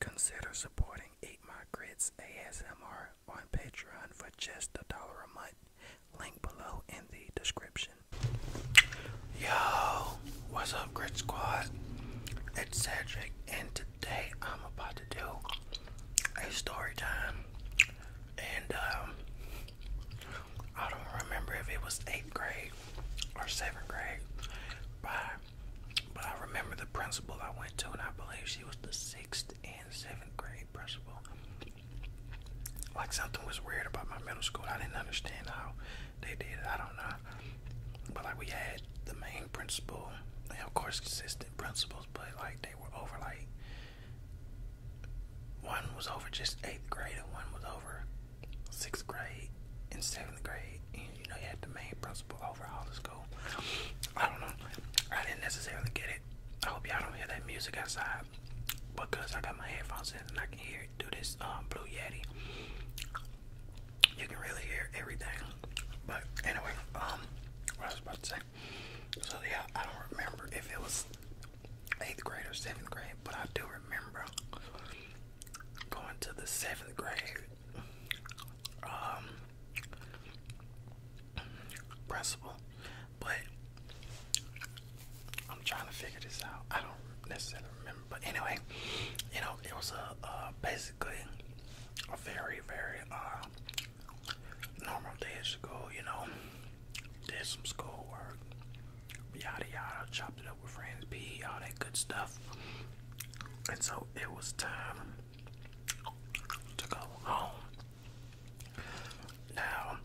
Consider supporting Eight My Grits ASMR on Patreon for just a dollar a month. Link below in the description. Yo, what's up, Grit Squad? It's Cedric, and today I'm about to do a story time and um, I don't remember if it was eighth grade or seventh grade, but but I remember the principal I went to, and I believe she was the sixth and seventh grade principal. Like something was weird about my middle school. I didn't understand how they did it. I don't know. But like we had the main principal, and of course, assistant principals, but like they were over like one was over just eighth grade and one was over sixth grade and seventh grade and you know you have the main principal over all the school. I don't know. I didn't necessarily get it. I hope y'all don't hear that music outside because I got my headphones in and I can hear it through this um, Blue Yeti. You can really hear everything. But anyway, um, what I was about to so yeah, I don't remember if it was eighth grade or seventh grade, but I do remember going to the seventh grade um, principal. But I'm trying to figure this out. I don't necessarily remember, but anyway, you know, it was a basically a very, very uh, normal days ago, you know, did some school work, yada yada, chopped it up with friends, pee, all that good stuff. And so it was time to go home. Now,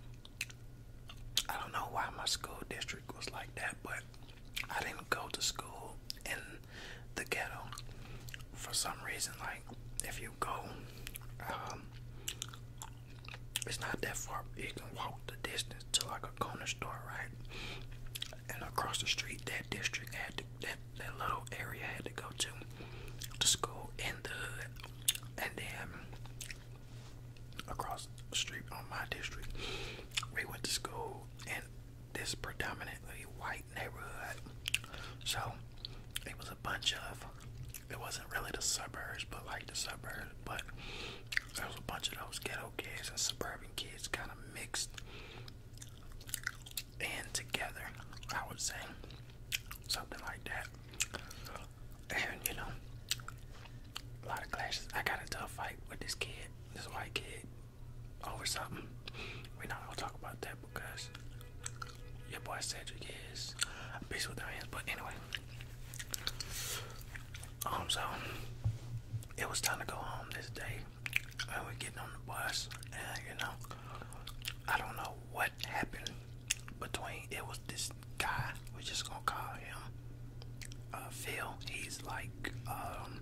I don't know why my school district was like that, but I didn't go to school in the ghetto for some reason. Like, if you go. Um, it's not that far. You can walk the distance to like a corner store, right? And across the street, that district had to, that that little area had to go to the school in the hood, and then across the street on my district, we went to school, and this predominantly white white neighborhood. So it was a bunch of it wasn't really the suburbs but like the suburbs but there was a bunch of those ghetto kids and suburban kids kinda mixed and together I would say something like that. And you know a lot of clashes. I got into a fight with this kid, this white kid, over something. We're not gonna talk about that, because your boy Cedric is a beast with our hands. But anyway, um, so it was time to go home this day. And we're getting on the bus, and you know, I don't know what happened between it was this guy. We're just gonna call him uh, Phil. He's like um,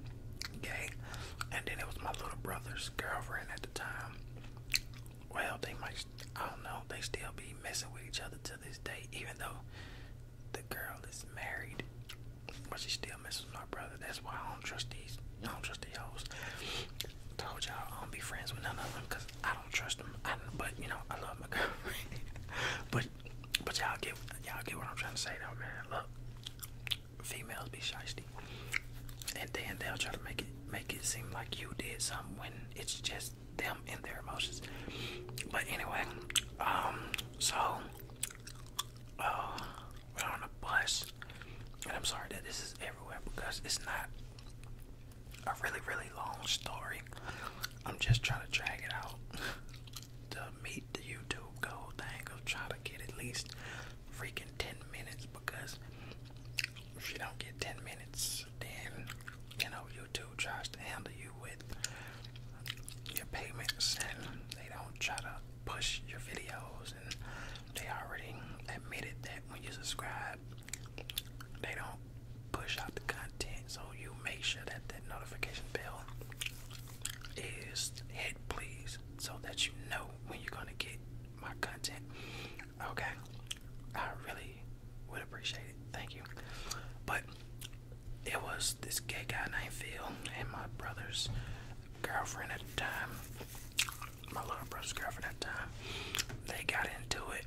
gay, and then it was my little brother's girlfriend at the time well, they might, I don't know, they still be messing with each other to this day, even though the girl is married, but she still messes with my brother. That's why I don't trust these, I don't trust the hoes. Told y'all I don't be friends with none of them because I don't trust them. I, but you know, I love my girl. but but y'all get y'all get what I'm trying to say though, man. Look, females be shy and then they'll try to make it make it seem like you did something when it's just them and their emotions. But anyway, um, so uh, we're on a bus, and I'm sorry that this is everywhere because it's not a really really long story. I'm just trying to drag it out to meet the YouTube goal thing of try to get at least freaking ten minutes because if you don't get 10 minutes, then you know YouTube tries to handle you with your payments and they don't try to push your videos and they already admitted that when you subscribe they don't push out the content so you make sure that that notification bell is hit please so that you know when you're gonna get my content. Okay, I really would appreciate it. Thank you. But it was this gay guy named Phil and my brother's girlfriend at the time, my little brother's girlfriend at the time. They got into it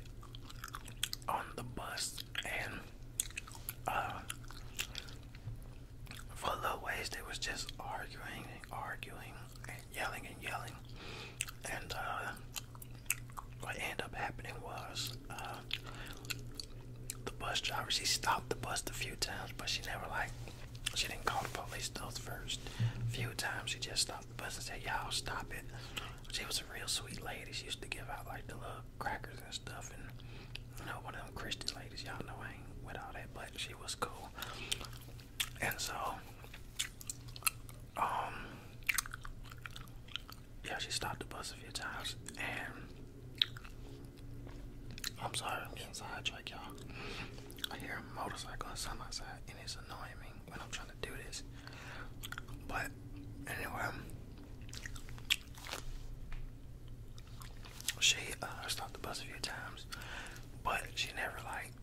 on the bus and uh, for a little ways they was just arguing and arguing yelling and yelling. And uh, what ended up happening was uh, the bus driver, she stopped the bus a few times, but she never like, she didn't call the police those first few times. She just stopped the bus and said, y'all stop it. She was a real sweet lady. She used to give out like the little crackers and stuff. And you know, one of them Christian ladies, y'all know I ain't with all that, but she was cool. And so, um, yeah, she stopped the bus a few times, and I'm sorry, I'm y'all. I hear a motorcycle my side, and it's annoying me when I'm trying to do this. But anyway, she uh, stopped the bus a few times, but she never like like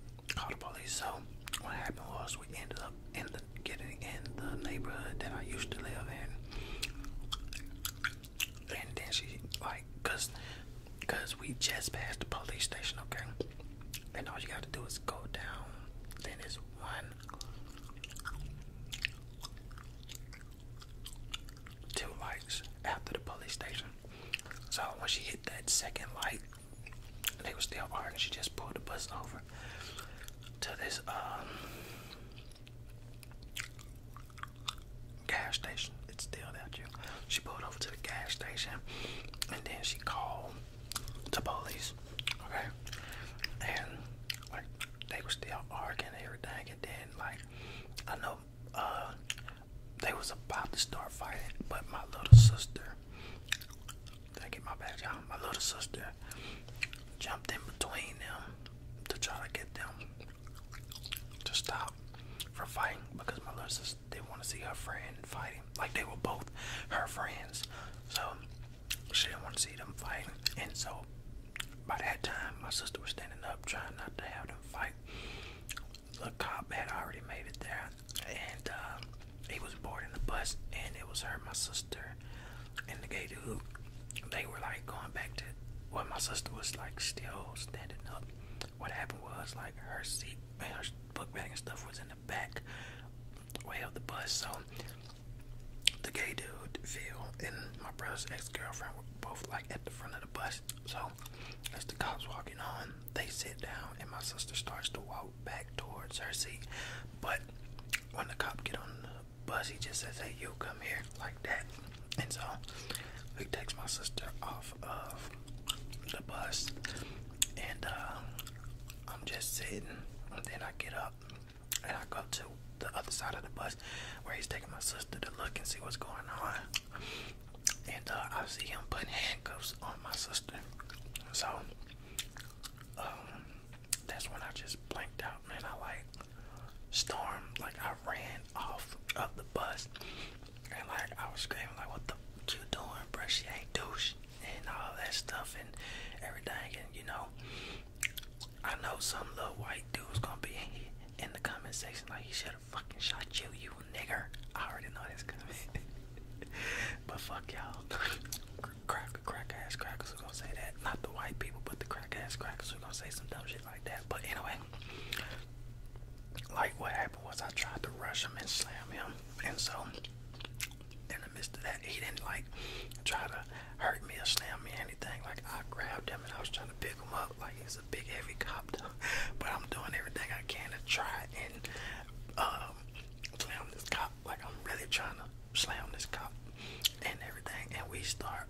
the police. So what happened was we ended up in the getting in the neighborhood that I used to live in, and then she like cause cause we just passed the police station, okay, and all you got to do is go down. Then it's one, two lights after the police station. So when she hit that second light, they were still arguing. She just pulled the bus over to this um, gas station. It's still there, you. She pulled over to the gas station, and then she called the police. Okay, and like they were still arguing everything, and then like I know uh, they was about to start fighting, but my little sister, did I my badge out? My little sister jumped in between them to try to get them to stop from fighting because my little sister didn't want to see her friend fighting. Like they were both her friends. So she didn't want to see them fighting. And so by that time, my sister was standing up trying not to have them fight the cop had already made it there, and um, he was boarding the bus, and it was her, my sister, and the gay dude. They were like going back to well, my sister was like still standing up. What happened was like her seat and her book bag and stuff was in the back way of the bus, so the gay dude, Phil, and my brother's ex girlfriend were both like at the front of the bus. So, as the cops walking on, they sit down, and my sister starts to walk back towards her seat. But when the cop get on the bus, he just says, "Hey, you come here," like that. And so, he takes my sister off of the bus, and um, I'm just sitting. And then I get up, and I go to the other side of the bus where he's taking my sister to look and see what's going on and uh, I see him putting handcuffs on my sister. So um, that's when I just blanked out, man. I like stormed, like I ran off of the bus, and like I was screaming, like, "What the what you doing, bruh? She ain't douche and all that stuff and everything." And you know, I know some little white dude's gonna be in the comment section like, "He should should have fucking shot you, you nigger. I already know that's coming. but fuck y'all. crack, crack ass crackers are gonna say that. Not the white people, but the crack ass crackers are gonna say some dumb shit like that. But anyway, like what happened was I tried to rush him and slam him. And so, in the midst of that, he didn't like try to hurt me or slam me anything. Like I grabbed him and I was trying to pick him up. Like he's a big heavy cop but I'm doing everything I can to try and um, slam this cop. Like I'm really trying to slam this cop and everything. And we start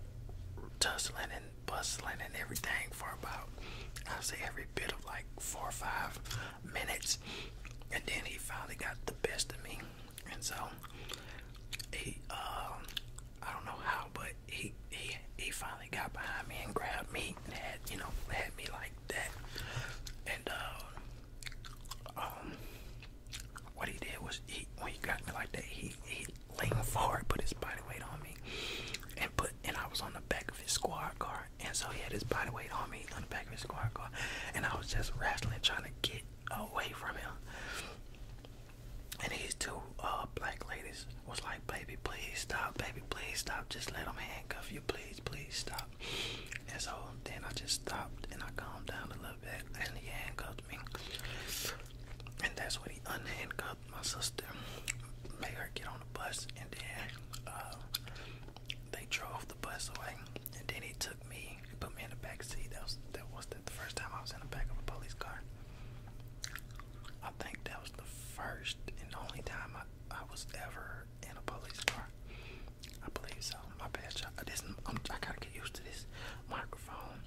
tussling and bustling and everything for about I say every bit of like four or five minutes. And then he finally got the best of me. And so he um, I don't know how but he he he finally got behind me and grabbed me and had you know had me like that. And uh, um, what he did was he when he got me like that, he he leaned forward, put his body weight on me, and put and I was on the back of his squad car, and so he had his body weight on me on the back of his squad car, and I was just wrestling, trying to get away from him. And these two uh, black ladies was like, baby, please stop, baby, please stop. Just let them handcuff you, please, please stop. And so then I just stopped and I calmed down a little bit and he handcuffed me. And that's when he unhandcuffed my sister, made her get on the bus, and then uh, they drove the bus away. And then he took me, put me in the back seat. That was that was the first time I was in the back of a police car. I think that was the first and only time I I was ever in a police car. I believe so. My bad, y'all. This I'm, I gotta get used to this microphone.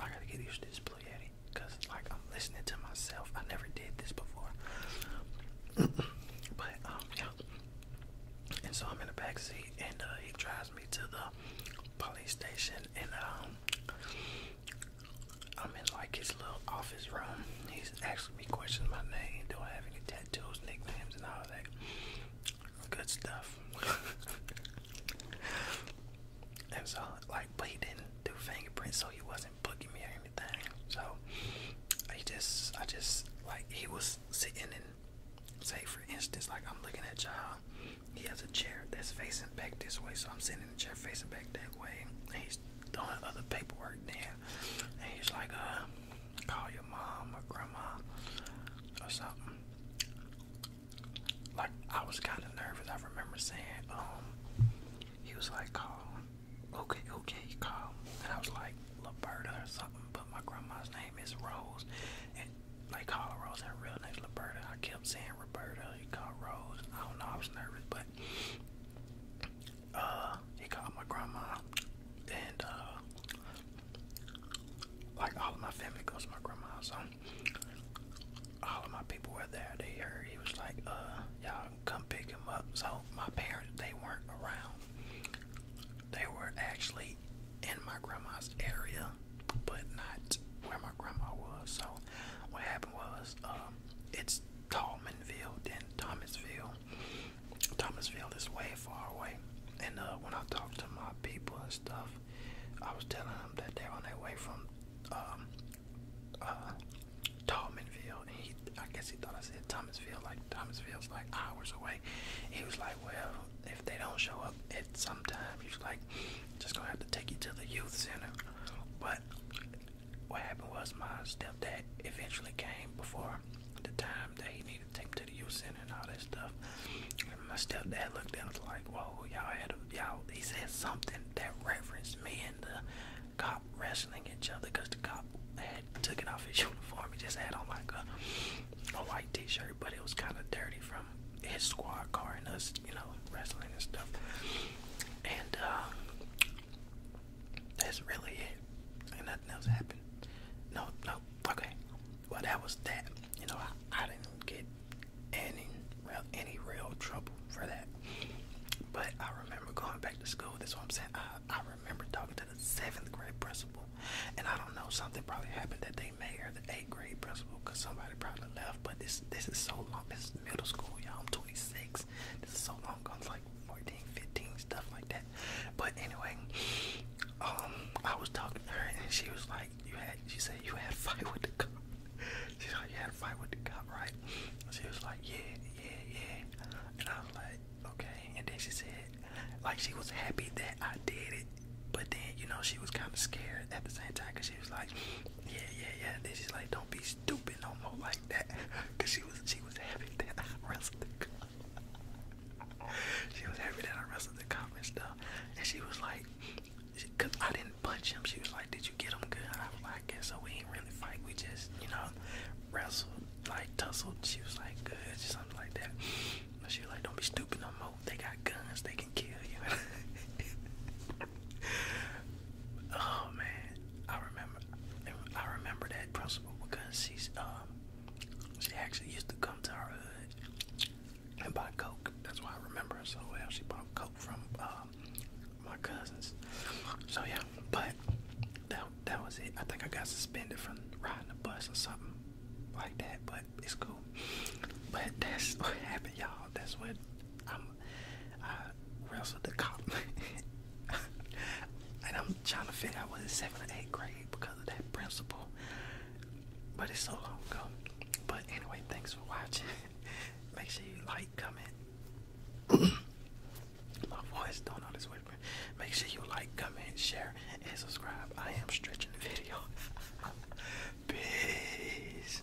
I gotta get used to this Blue Yeti, cause like I'm listening to myself. I never did this before. but um, yeah. And so I'm in the back seat, and uh, he drives me to the police station, and um, I'm in like his little office room. He's asking me questions my name, do I have any tattoos, nicknames, and all that good stuff. and so, like, but he didn't do fingerprints, so he wasn't booking me or anything. So he just, I just like he was sitting in, say for instance, like I'm looking at y'all. He has a chair that's facing back this way, so I'm sitting in the chair facing back that way. And he's doing other paperwork then. And he's like, uh, call your mom or grandma or something. Like, I was kind of nervous. I remember saying, um, he was like, call. Okay, okay, call. And I was like, Liberta or something, but my grandma's name is Rose. And like call Rose, her real name name's Liberta. I kept saying Roberta, you call Rose. I don't know, I was nervous, but uh, he called my grandma, and uh, like all of my family goes to my grandma, so all of my people were there. They heard he was like, uh, y'all come pick him up. So my parents, they weren't around. They were actually in my grandma's area, but not where my grandma was. So what happened was, um, it's Tallmanville than Thomasville. Thomasville is way far away. And uh, when I talked to my people and stuff, I was telling them that they're on their way from um, uh, Tallmanville. And he, I guess he thought I said Thomasville. Like, Thomasville's like hours away. He was like, well, if they don't show up at some time, he's like, just gonna have to take you to the youth center. But what happened was my stepdad eventually came before the time that he needed to take me to the youth center and all that stuff. And my stepdad looked down and was like, whoa, y'all had y'all, he said something that referenced me and the cop wrestling each other because the cop had took it off his uniform. He just had on like a, a white t-shirt, but it was kind of dirty from his squad car and us, you know, wrestling and stuff. And uh, that's really it. And nothing else happened. No, no, okay. Well, that was that. You know, I, didn't get any, any real trouble for that. But I remember going back to school. That's what I'm saying. I, I remember talking to the seventh grade principal, and I don't know something probably happened that they made her the eighth grade principal because somebody probably left. But this this is so long. This is middle school, y'all. I'm 26. This is so long ago like 14, 15, stuff like that. But anyway, um, I was talking to her and she was like, "You had," she said, "You had a fight with the cop." She's like, "You had a fight with the cop, right?" She was like, "Yeah, yeah, yeah," and I was like, "Okay." And then she said, like she was happy that I did it, but then you know she was kind of scared at the same time because she was like, "Yeah, yeah, yeah." Then she's like, "Don't be stupid no more," like like that because she was she was happy that I wrestled the cop. she was happy that I wrestled the cop and stuff. And she was like, she, cause I didn't punch him. She was like, did you get him good? I was like, I guess so. We ain't really fight. We just you know wrestled, like tussled. She was like, good, just something like that. But she was like, don't be stupid no more. They got guns. They can kill you. oh man, I remember remember, I remember that principal because she's um, she actually used to come to our hood and buy coke. That's why I remember her so well. She bought coke from um, my cousins. So yeah, but that that was it. I think I got suspended from riding the bus or something like that. But it's cool. But that's what happened, y'all. That's what I'm I wrestled the cop, and I'm trying to figure out was is seven or eight grade because of that principle. But it's so long ago. But anyway, thanks for watching. Make sure you like, comment. My voice don't know this whispering. Make sure you like, comment, share, and subscribe. I am stretching the video. Peace.